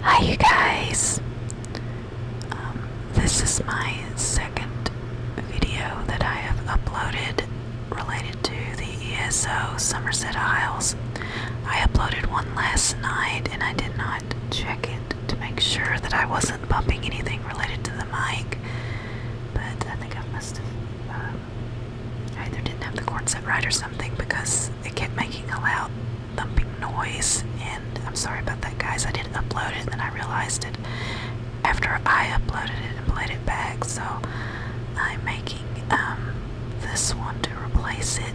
Hi, you guys. Um, this is my second video that I have uploaded related to the ESO Somerset Isles. I uploaded one last night and I did not check it to make sure that I wasn't bumping anything related to the mic, but I think I must have. Uh, either didn't have the cord set right or something because it kept making a loud thumping noise, and I'm sorry about that, guys. I didn't upload it, and then I realized it after I uploaded it and played it back. So I'm making um, this one to replace it.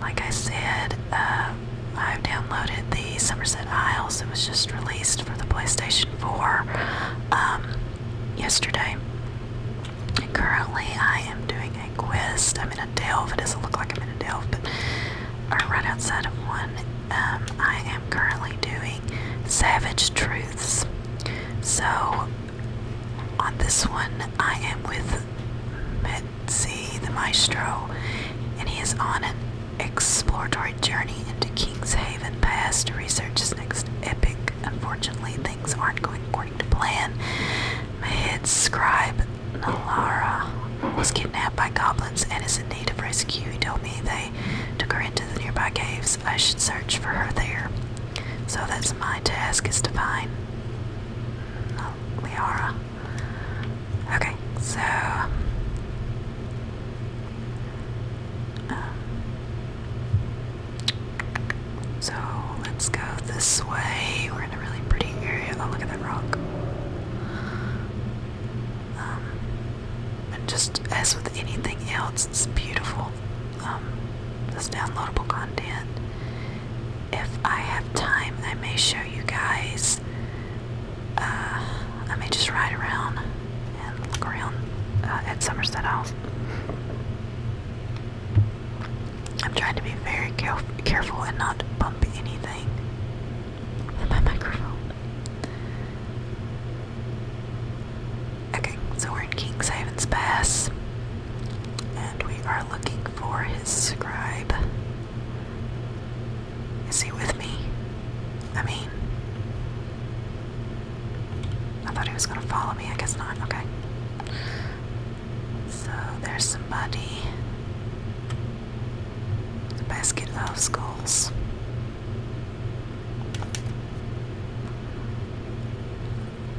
Like I said, uh, I've downloaded the Somerset Isles. It was just released for the PlayStation 4 um, yesterday. Currently, I am doing a quest. I'm in a delve. It doesn't look like I'm in a delve, but I'm right outside of one. Um, I am currently doing Savage Truths. So, on this one, I am with Metzi, the maestro, and he is on an exploratory journey into King's Haven Pass to research his next epic. Unfortunately, things aren't going plan, my scribe Nalara was kidnapped by goblins and is in need of rescue. He told me they took her into the nearby caves. I should search for her there. So that's my task is to find Nalara. Okay, so um, so let's go this way. We're in a really pretty area. Oh, look at that rock. Um, and just as with anything else, it's beautiful. Um, this downloadable content. If I have time, I may show you guys. Uh, I may just ride around and look around uh, at Somerset House. I'm trying to be very careful and not bump anything my microphone. Okay, so we're in King's Haven's Pass, and we are looking for his scribe. Is he with me? I mean, I thought he was gonna follow me. I guess not. Okay. So there's somebody. The basket loves goals.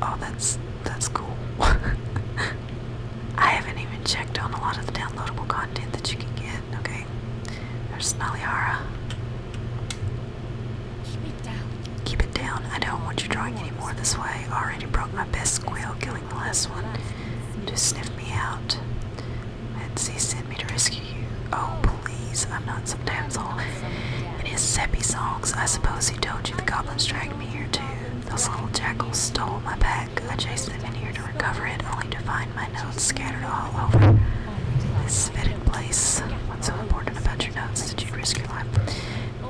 Oh, that's that's cool. I haven't even checked on a lot of the downloadable content that you can get. Okay, there's Snallyhara. Keep it down. Keep it down. I don't want you drawing any more this way. Already broke my best quill. killing the last one. Just sniff me out. And he sent me to rescue you. Oh, please, I'm not some damsel. In his seppy songs, I suppose he told you the goblins dragged me here too. Those little jackals stole my pack. I chased them in here to recover it, only to find my notes scattered all over this fetid place. What's so important about your notes that you risk your life?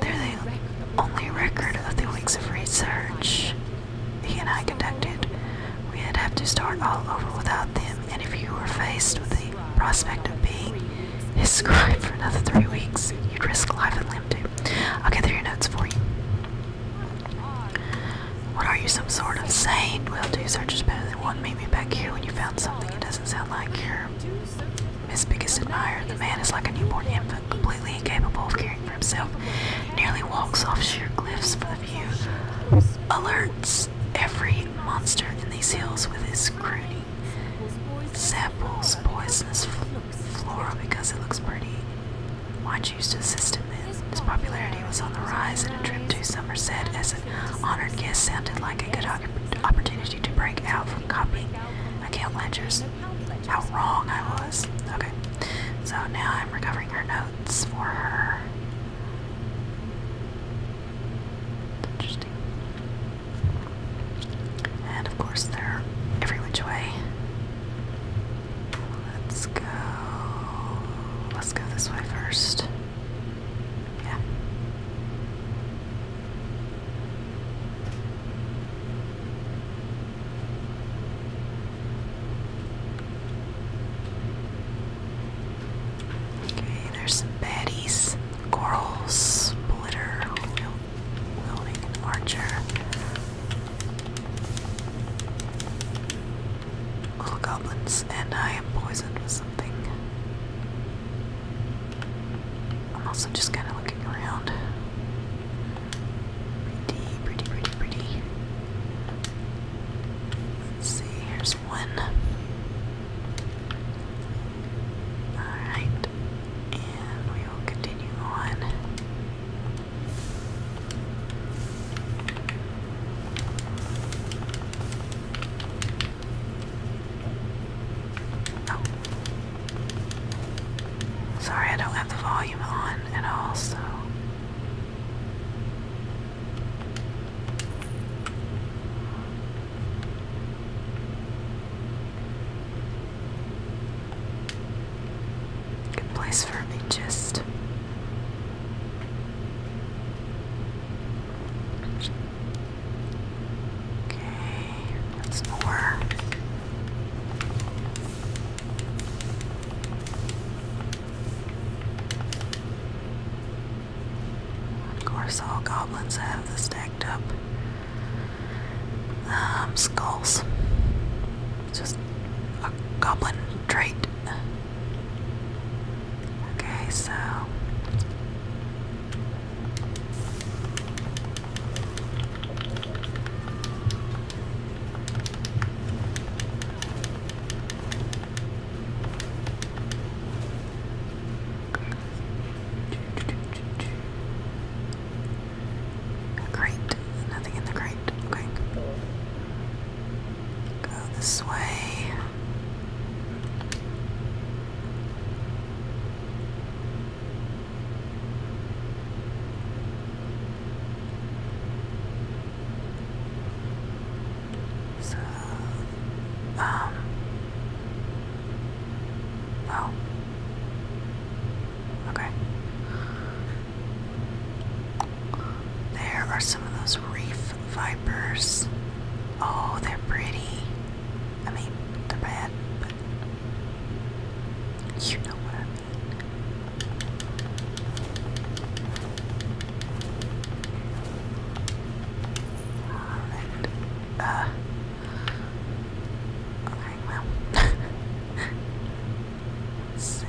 They're the only record of the weeks of research he and I conducted. We'd have to start all over without them, and if you were faced with the prospect of being described for another three weeks, you'd risk life and limb too. I'll gather your notes for you. What are you, some sort of saint? Well, two searches better than one. Meet me back here when you found something. It doesn't sound like you're Miss Biggest admirer, the man is like a newborn infant, completely incapable of caring for himself, nearly walks off sheer cliffs for the view, alerts every monster in these hills with his crooning, samples poisonous flora because it looks pretty. Why choose to assist him then? His popularity was on the rise, and a trip to Somerset as an honored guest sounded like a good opportunity to break out from from copying account ledgers. How wrong I was. Okay. So now I'm recovering her notes for her. Interesting. And of course they every which way. Let's go. Let's go this way first. Yeah. Okay, there's some baddies. Coral, Splitter, Wielding, Archer. Little goblins, and I am poisoned with something. I'm also just kind of looking around. Pretty, pretty, pretty, pretty. see, here's one. Alright, and we will continue on. Oh. Sorry, I don't have the volume on at all, so. Good place for me just Okay, that's four. Of course, all goblins have the stacked up um, skulls. just a goblin trait. Okay, so Great. Nothing in the crate. Okay. Go this way. So, um, oh, okay. There are some of those reef vipers. Oh, they're pretty. I mean, they're bad, but you know what I mean. Alright. Uh. Okay, well. see.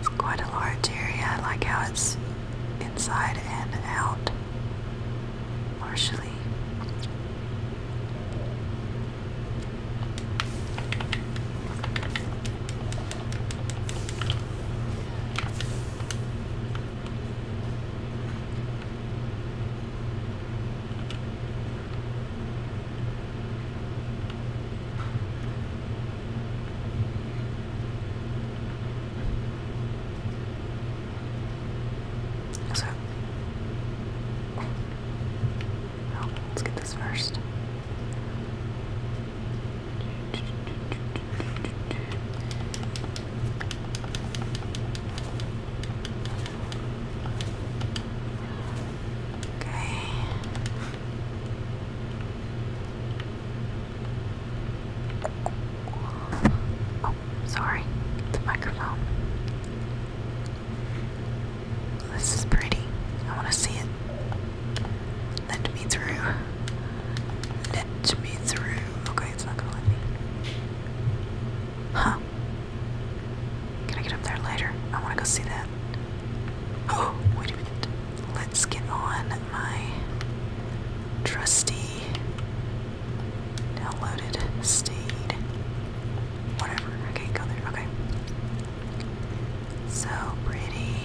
It's quite a large area. I like how it's inside and out partially. Is let's get this first. Okay. Oh, sorry, the microphone. This is pretty. I want to see it. Let me through. Let me through. Okay, it's not gonna let me. Huh. Can I get up there later? I want to go see that. Oh, wait a minute. Let's get on my trusty downloaded steed. Whatever. Okay, go there. Okay. So pretty.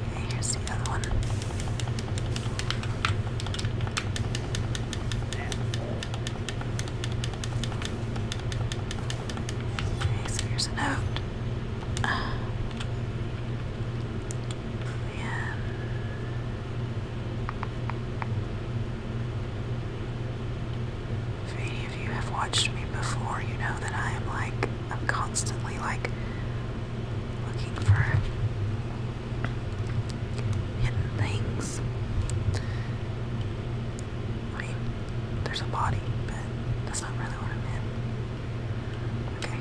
Okay, here's the other one. Okay, so here's a note yeah. If any of you have watched me before, you know that I am like, I'm constantly like looking for hidden things. I there's a body, but that's not really what I meant. Okay.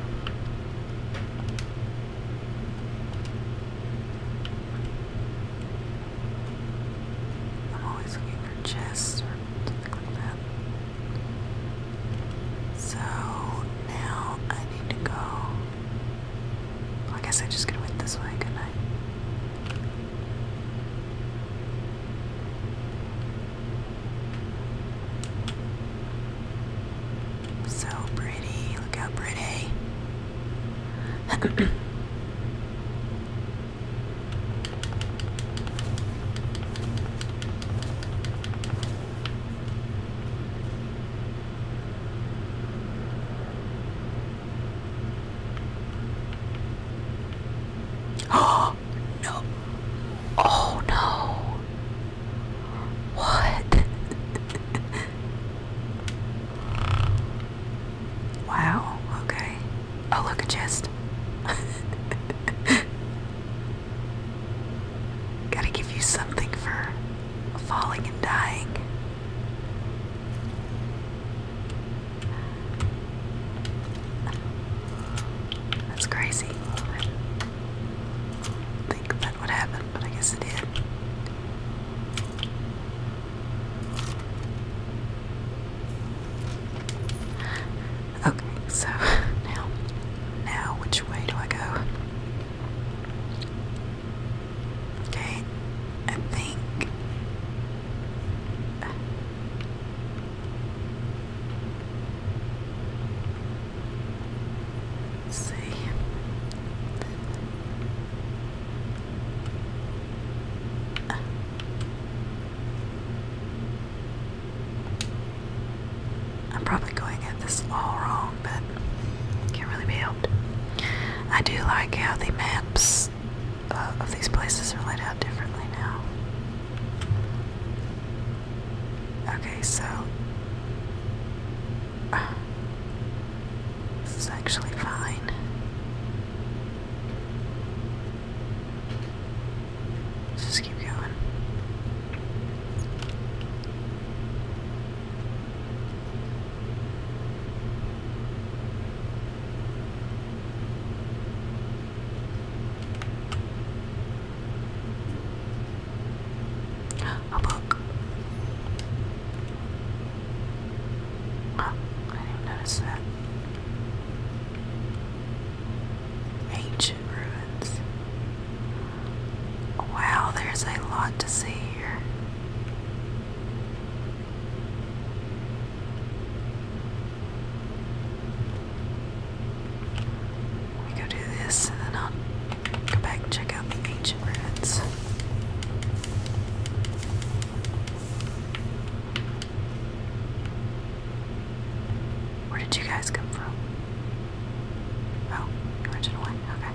I'm always looking for chests or something like that. So now I need to go. I guess I just could went this way, could so pretty, look how pretty. Oh, no, Oh no. What? wow, okay. Oh, look, a chest. Gotta give you something for falling and dying. That's crazy. think that would happen, but I guess it did. Okay, so now, now which way do I go? Okay, I think see. I'm probably going at this all wrong, but can't really be helped. I do like how the maps lights uh, of these places are laid out differently now. Okay, so this is actually fine. just keep going. A book. I didn't notice that. Ancient ruins. Wow, there's a lot to see here. We go do this and then I'll go back and check out the ancient ruins. Where did you guys come from? Oh, original one, okay.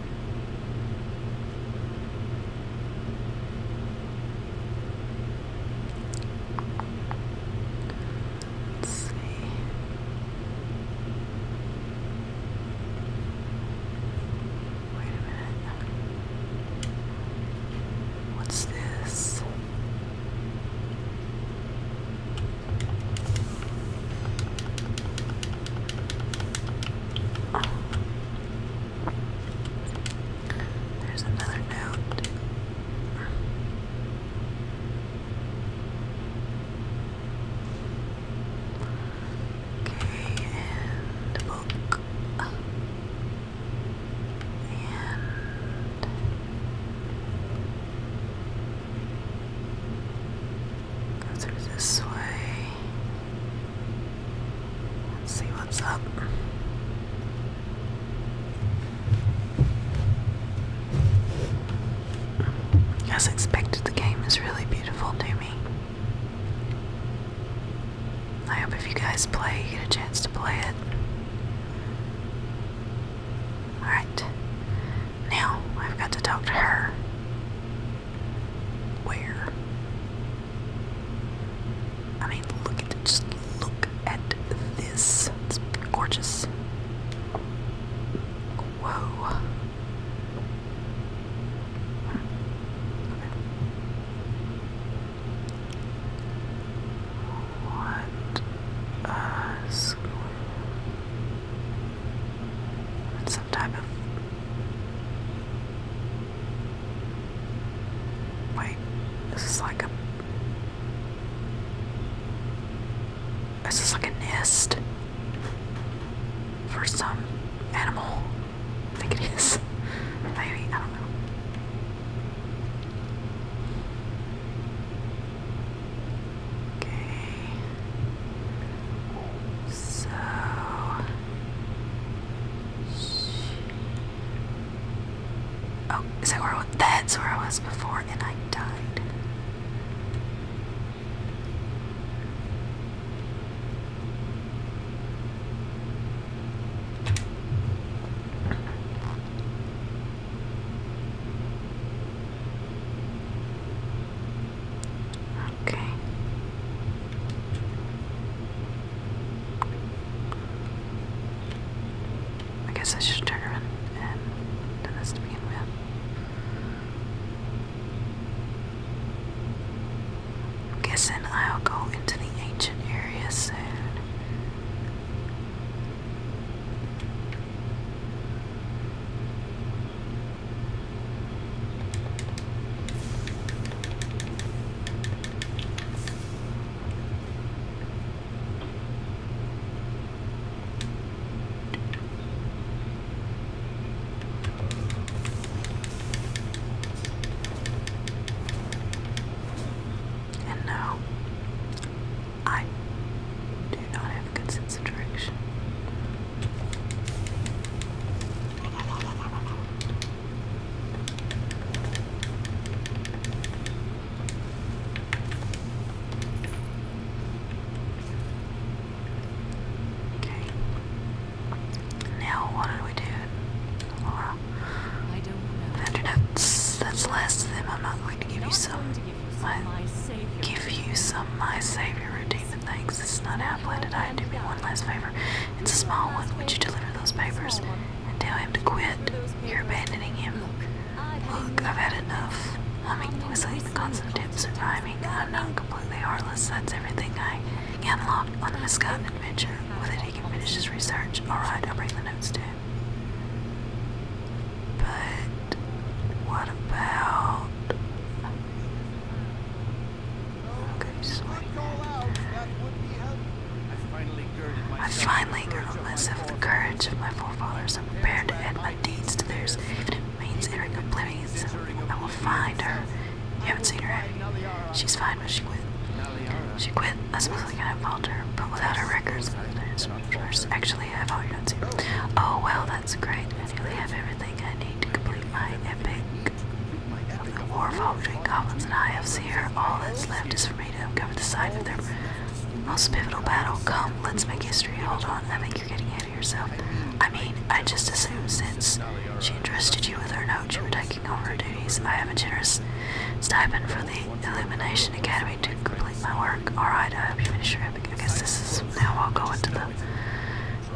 Let's see. Wait a minute. What's this? There's another note. Okay, and book. And go through this way see what's up. As expected, the game is really beautiful to I hope if you guys play, you get a chance to play it. Alright. Now I've got to talk to her. Where? I mean, look at just look at this. It's gorgeous. Whoa. What a Some type of Wait, this is like a. This is like a nest for some animal. I think it is. Maybe, I don't know. Okay. So oh, is that where I, that's where I was before, and I died. Okay. I guess I should turn around and do this to begin with. I'm guessing I'll go into the ancient area soon. And no, I do not have a good sense of direction. Okay. Now what do we do, Laura? I That's less than I'm not going to give you some. give you some my, savior. Give redeemer. Thanks, this is not Applet, and I am do me one last favor. It's a small one. Would you deliver those papers and tell him to quit? You're abandoning him. Look, I've had enough. Humming was like the constant of surviving. I'm not completely heartless. That's everything I unlocked on the misgotten adventure. With it, he can finish his research. Alright, I'll bring the notes to him. But what about Okay, sorry. I finally, girlness, have the courage of my forefathers and prepared to add my deeds to theirs, if it means entering oblivion. I will find her. You haven't seen her, have you? She's fine, but she quit. She quit. I suppose I can't fault her, but without her records, actually, I have all your notes here. Oh, well, that's great. I nearly have everything I need to complete my epic the war between goblins and IFs here. All that's left is for me to uncover the site of their most pivotal battle. Come, let's make history. Hold on, I think you're getting ahead of yourself. I mean, I just assumed since she entrusted you with her note, you were taking over her duties. I have a generous stipend for the Illumination Academy to complete my work. Alright, I hope you finish your epic. I guess this is now I'll go into the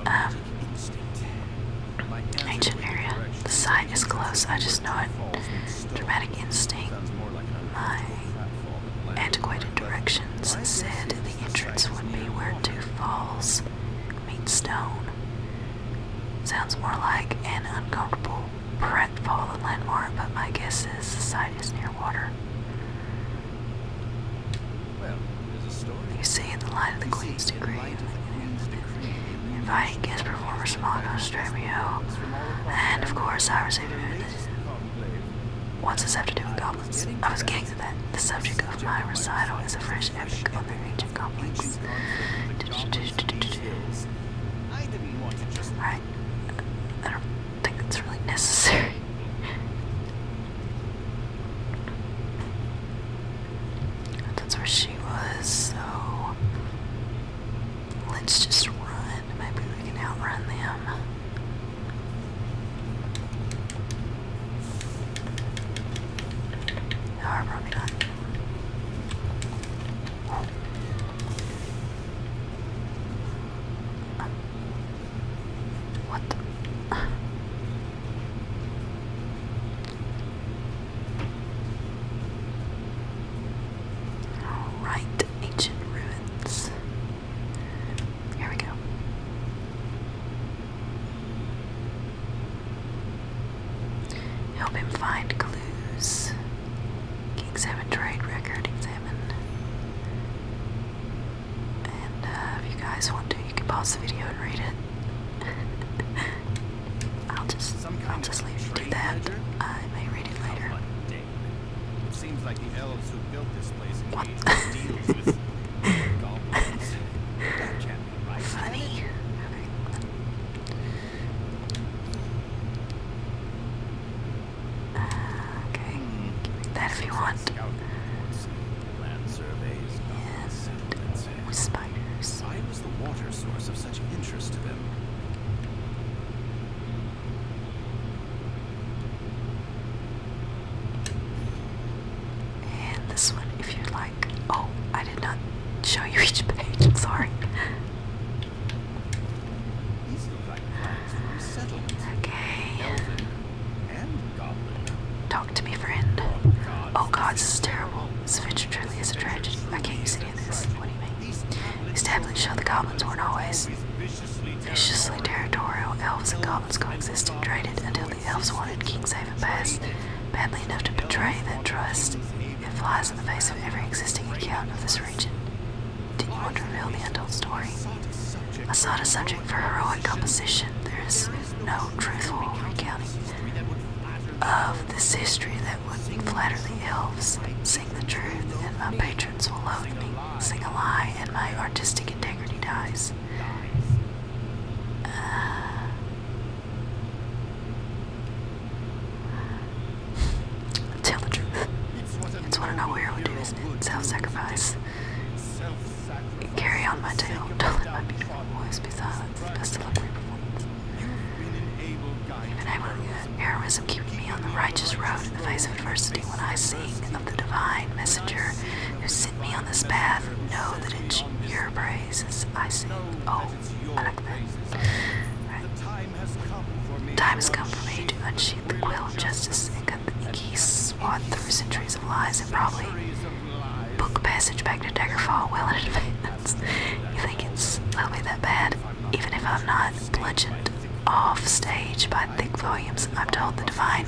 um, Ancient area. The site is close. I just know it. Dramatic instinct. My antiquated directions said the entrance would be where two falls meet stone. Sounds more like an uncomfortable prep fallen landmark, but my guess is the site is near water. You see in the light of the Queen's decree, inviting guest performers from all Nostramio, and of course I received a this. What's this have to do with goblins? I was getting to that. The subject of my recital is a fresh epic on the ancient goblins. Alright, I don't think it's really necessary. That's where she was, so let's just run. Maybe we can outrun them. No, probably not. What the? Alright, ancient ruins. Here we go. Help him find clues. Examine trade record. Examine. And uh, if you guys want to, you can pause the video and read it. I'll just, Some I'll just leave you that. I may read it later. That Funny. okay, uh, hmm. that if you want. Land surveys, yes, settlements. With spiders. Why was the water source of such interest to them? And this one, if you like. Oh, I did not show you each page. sorry. Okay. Talk to me, friend. Oh, oh god, this is terrible. This adventure truly is a tragedy. I can't use any of this. What do you mean? These tablets show the goblins weren't always viciously territorial. Elves and goblins coexisted traded until the elves wanted Kingshaven Pass badly enough to betray that trust. It flies in the face of every existing account of this region. Did you want to reveal the untold story? I saw the subject for heroic composition. There is no truthful recounting of this history that would flatter the elves. Sing the truth, and my patrons will love me. Sing a lie, and my artistic integrity dies. Uh, tell the truth. It's what an old hero do, Self-sacrifice. Carry on my tale. Don't let my beautiful voice be silenced. Best of luck for your performance. You've been able to heroism keeping me on the righteous road in the face of adversity. When I sing of the divine messenger who sent me on this path, know that it's your praises I sing. Oh, I like that. Right. Time has come for me to unsheath the quill of justice and cut the geese swan through centuries of lies and probably book passage back to Daggerfall well in advance. You think it's will that bad? Even if I'm not bludgeoned off stage by thick volumes, I'm told the divine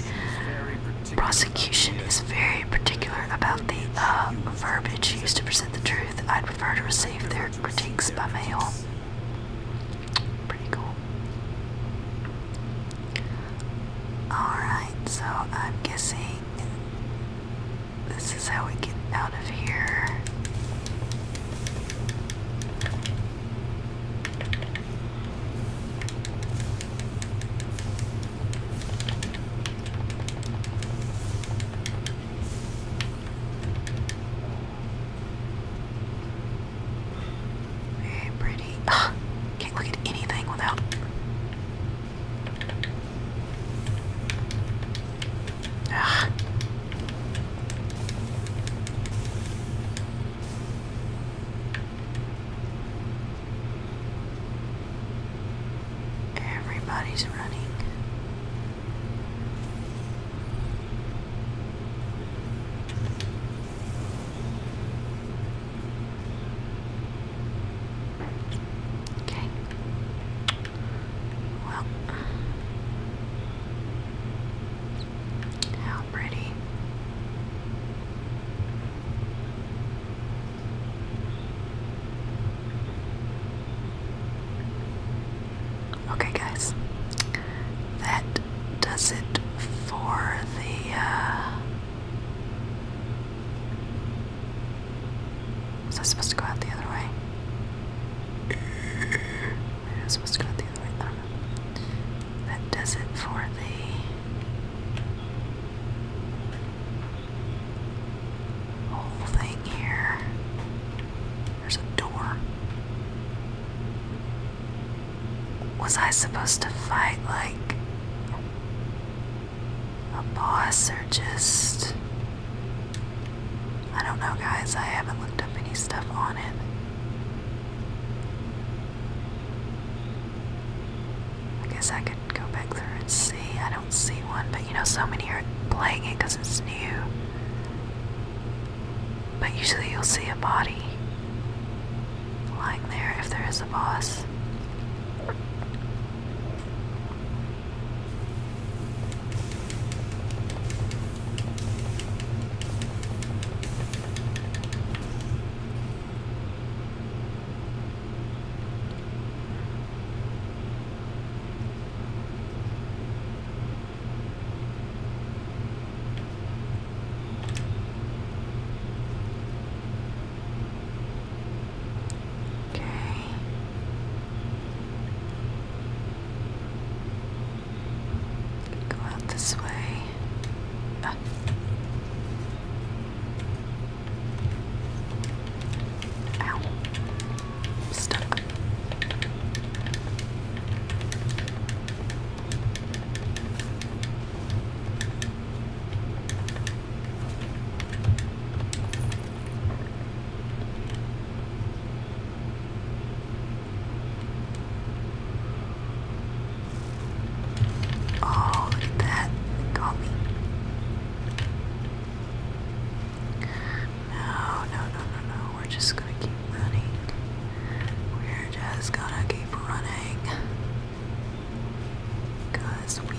prosecution is very particular about the uh, verbiage used to present the truth. I'd prefer to receive their critiques by mail. Pretty cool. Alright, so I'm guessing this is how we get out of here. Very pretty. can't look at anything without. Everybody's running. Okay. Well, how pretty. Okay, guys, that does it for the uh, was I supposed to go out the other way? I was supposed to go the other way. I does it for the whole thing here. There's a door. Was I supposed to fight like a boss or just. I don't know, guys. I haven't looked up any stuff on it. I guess I could go back through and see. I don't see one, but you know, so many are playing it because it's new. But usually you'll see a body lying there if there is a boss. Okay. Go out this way. Ah. stuck. Oh, look at that. Got me. No, no, no, no, no. We're just gonna keep running. We're just gonna keep running. we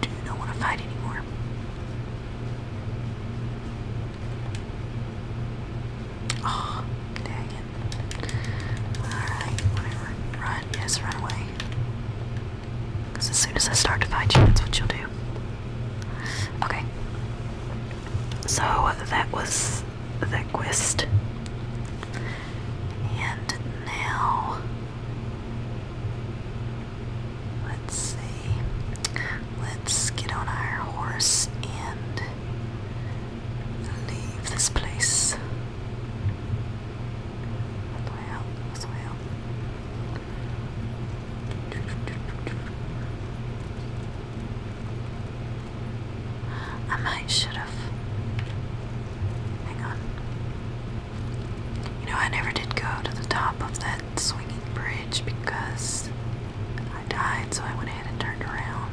do not want to fight anymore. Oh, dang it. Alright, whatever. Run, yes, run away. as soon as I start to fight you, that's what you'll do. Okay. So that was the quest. And now, let's see. Let's get on our horse and leave this place. This way out, this I might should have. Hang on. You know, I never did go to the top of that swinging bridge because I died, so I went ahead and turned around.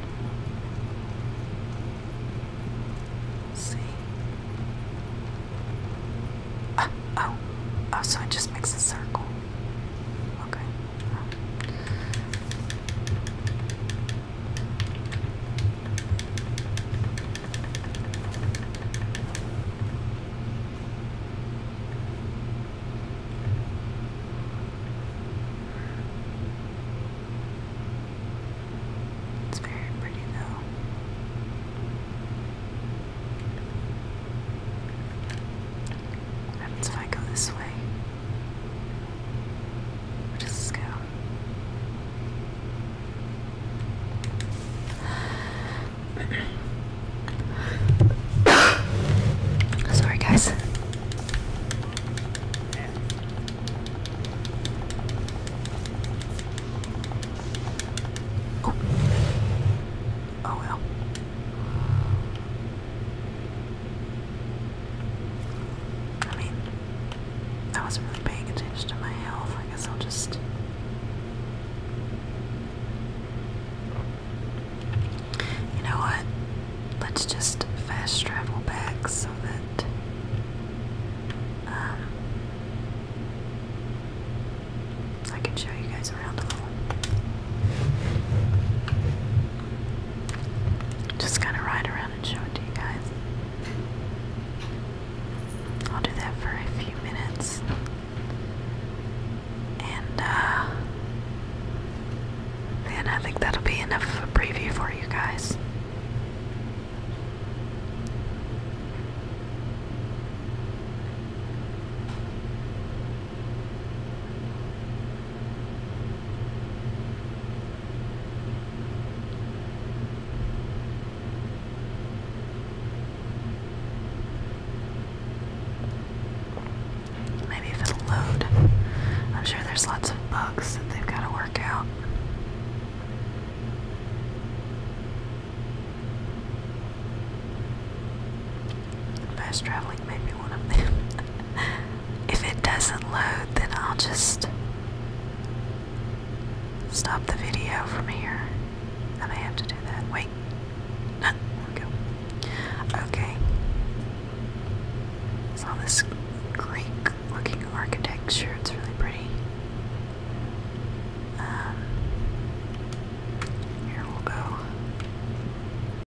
see. Ah, oh, oh, so it just makes a circle. Okay. It's very pretty though. What happens if I go this way? Where does this go? Sorry, guys. Oh. oh well. I mean, that wasn't really paying attention to my health. I guess I'll just. You know what? Let's just fast travel back so that. Um, I can show you guys around a little. Just gonna ride around and show it to you guys. I'll do that for a few minutes. And then uh, I think that'll be enough of a preview for you guys. Maybe it'll load. I'm sure there's lots of bugs that they've got to work out. Fast traveling may one of them. If it doesn't load, then I'll just stop the video from here. I may have to do that. Wait. go. Okay. It's this Greek looking architecture. It's really pretty. Um, here we go.